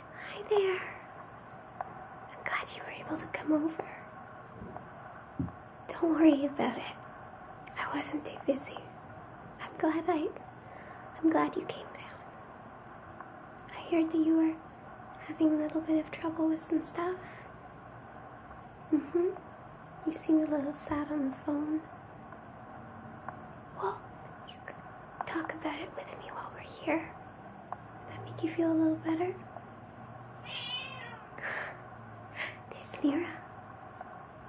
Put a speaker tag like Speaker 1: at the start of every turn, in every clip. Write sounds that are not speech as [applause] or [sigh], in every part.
Speaker 1: Hi there. I'm glad you were able to come over. Don't worry about it. I wasn't too busy. I'm glad I I'm glad you came down. I heard that you were having a little bit of trouble with some stuff. Mm-hmm. You seem a little sad on the phone. Well, you can talk about it with me while we're here. Does that make you feel a little better? [sighs] There's Lyra.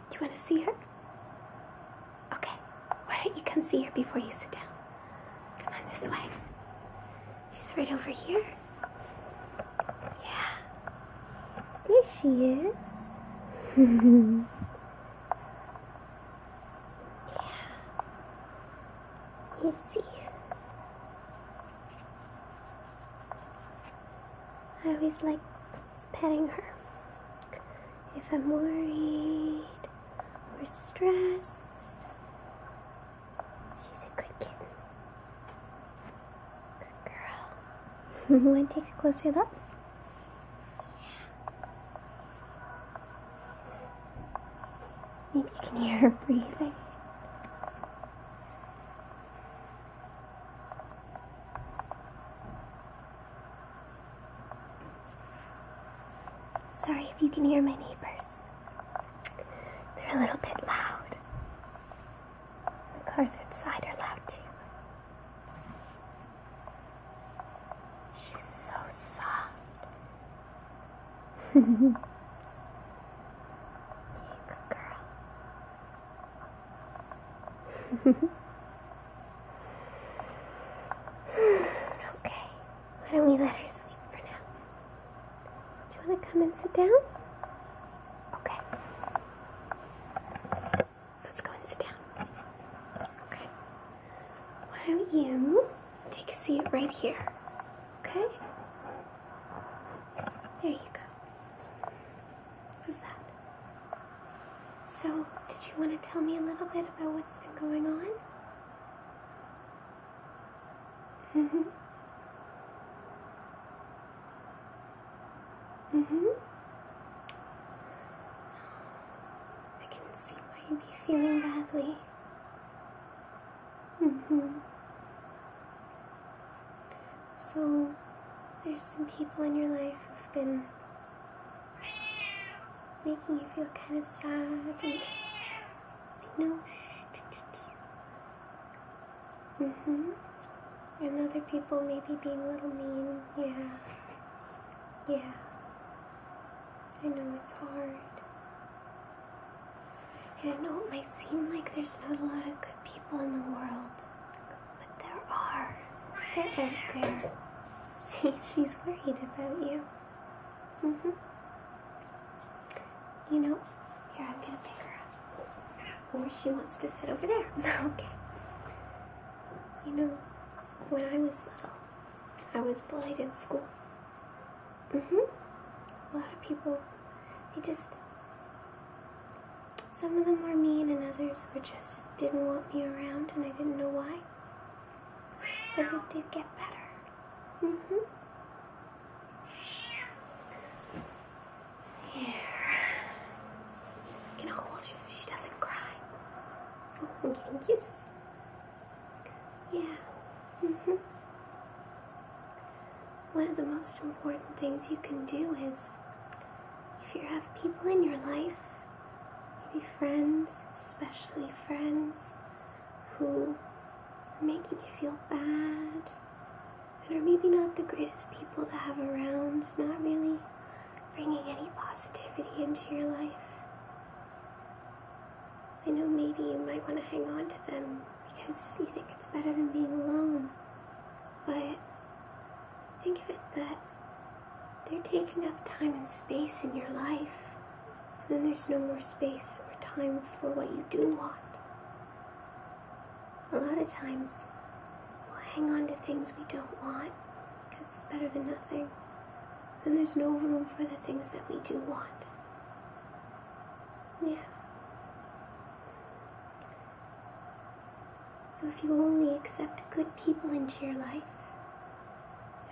Speaker 1: Do you want to see her? Okay, why don't you come see her before you sit down? Come on this way. She's right over here. Yeah. There she is. [laughs] Yeah. You see. I always like petting her. If I'm worried or stressed, she's a good kitten. Good girl. [laughs] Want to take a closer look? Yeah. Maybe you can hear her breathing. Sorry if you can hear my neighbors. They're a little bit loud. The cars outside are loud too. She's so soft. you good girl. okay, why don't we let her sleep for now? Do you want to come and sit down? Okay. let's go and sit down. Okay. Why don't you take a seat right here? Okay? There you go. How's that? So, did you want to tell me a little bit about what's been going on? hmm. hmm. I can see why you'd be feeling badly. Mm hmm. So, there's some people in your life who've been making you feel kind of sad, and I know. Mm hmm. And other people maybe being a little mean. Yeah. Yeah. I know it's hard. And I know it might seem like there's not a lot of good people in the world, but there are. They're out there. [laughs] See, she's worried about you. hmm You know, here, I'm gonna pick her up. Or she wants to sit over there. [laughs] okay. You know, when I was little, I was bullied in school. Mm-hmm. A lot of people, they just, some of them were mean and others were just didn't want me around and I didn't know why. But it did get better. Mm-hmm. Here. Can I hold her so she doesn't cry? I'm [laughs] getting kisses. Yeah. Mm hmm One of the most important things you can do is if you have people in your life, maybe friends, especially friends, who are making you feel bad and are maybe not the greatest people to have around, not really bringing any positivity into your life. I know maybe you might want to hang on to them because you think it's better than being alone, but think of it that they're taking up time and space in your life, and then there's no more space or time for what you do want. A lot of times, we'll hang on to things we don't want because it's better than nothing. Then there's no room for the things that we do want. Yeah. So if you only accept good people into your life,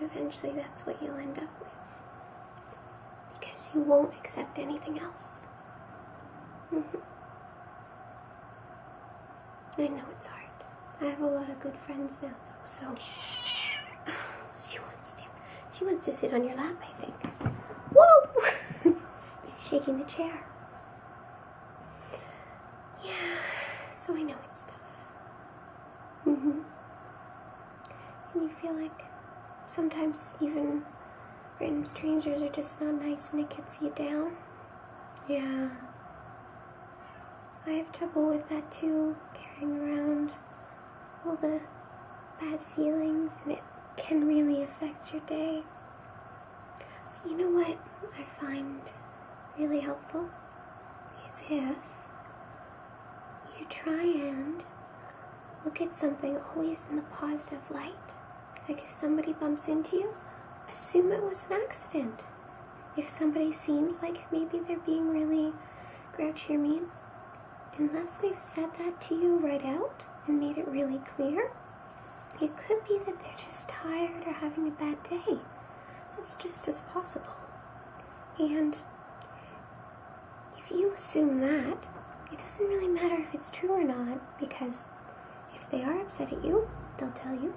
Speaker 1: eventually that's what you'll end up with. Because you won't accept anything else. Mm-hmm. I know it's hard. I have a lot of good friends now, though, so [sighs] she wants to. She wants to sit on your lap, I think. Whoa! [laughs] She's shaking the chair. Yeah, so I know it's tough. hmm And you feel like sometimes even random strangers are just not nice and it gets you down. Yeah. I have trouble with that too, carrying around all the bad feelings, and it can really affect your day. But you know what I find really helpful is if you try and look at something always in the positive light. Like if somebody bumps into you, assume it was an accident if somebody seems like maybe they're being really grouchy or mean, unless they've said that to you right out and made it really clear, it could be that they're just tired or having a bad day. That's just as possible. And if you assume that, it doesn't really matter if it's true or not because if they are upset at you, they'll tell you.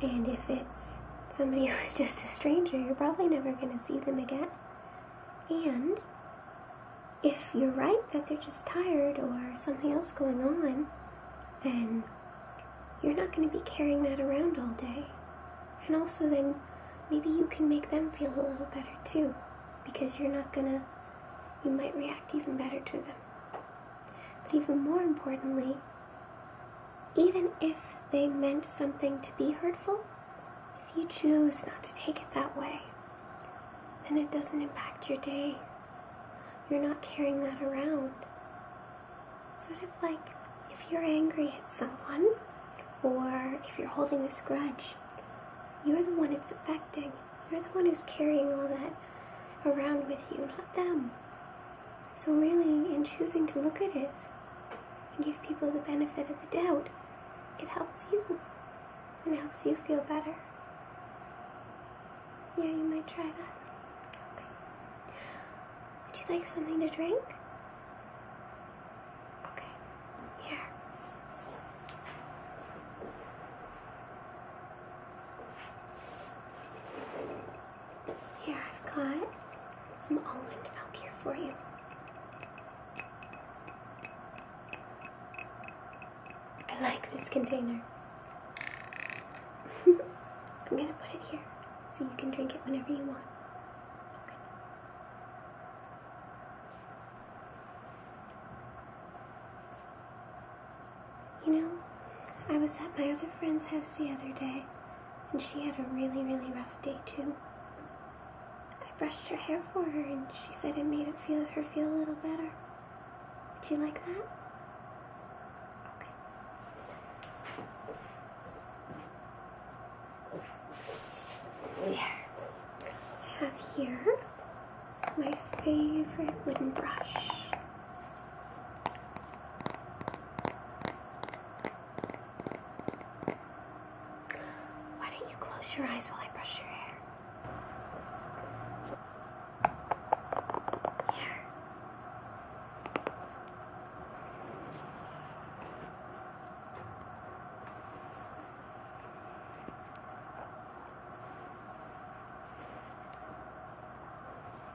Speaker 1: And if it's somebody [laughs] who's just a stranger, you're probably never going to see them again. And if you're right that they're just tired or something else going on, then you're not going to be carrying that around all day. And also, then maybe you can make them feel a little better too, because you're not going to, you might react even better to them. But even more importantly, even if they meant something to be hurtful, if you choose not to take it that way, then it doesn't impact your day. You're not carrying that around. Sort of like if you're angry at someone, or if you're holding this grudge, you're the one it's affecting. You're the one who's carrying all that around with you, not them. So, really, in choosing to look at it and give people the benefit of the doubt, it helps you it helps you feel better. Yeah, you might try that. Okay. Would you like something to drink? Okay, here. Here, I've got some almond milk here for you. I like this container. [laughs] I'm gonna put it here so you can drink it whenever you want. You know, I was at my other friend's house the other day, and she had a really, really rough day too. I brushed her hair for her, and she said it made it feel her feel a little better. Do you like that? Okay. There. I have here my favorite wooden brush. Why don't you close your eyes while I brush your hair? Here.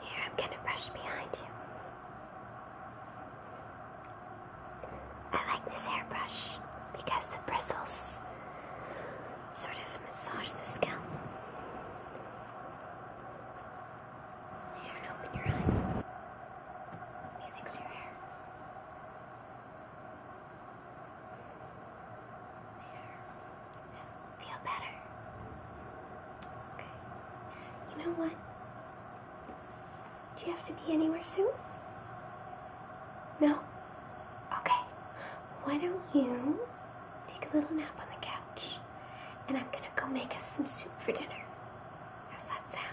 Speaker 1: Here, I'm going to brush behind you. I like this hairbrush because the bristles sort of massage the scalp. Here, open your eyes. me fix your hair. Yes, feel better. Okay. You know what? Do you have to be anywhere soon? No? Okay. Why don't you take a little nap on the couch and I'm gonna go make us some soup for dinner. How's that sound?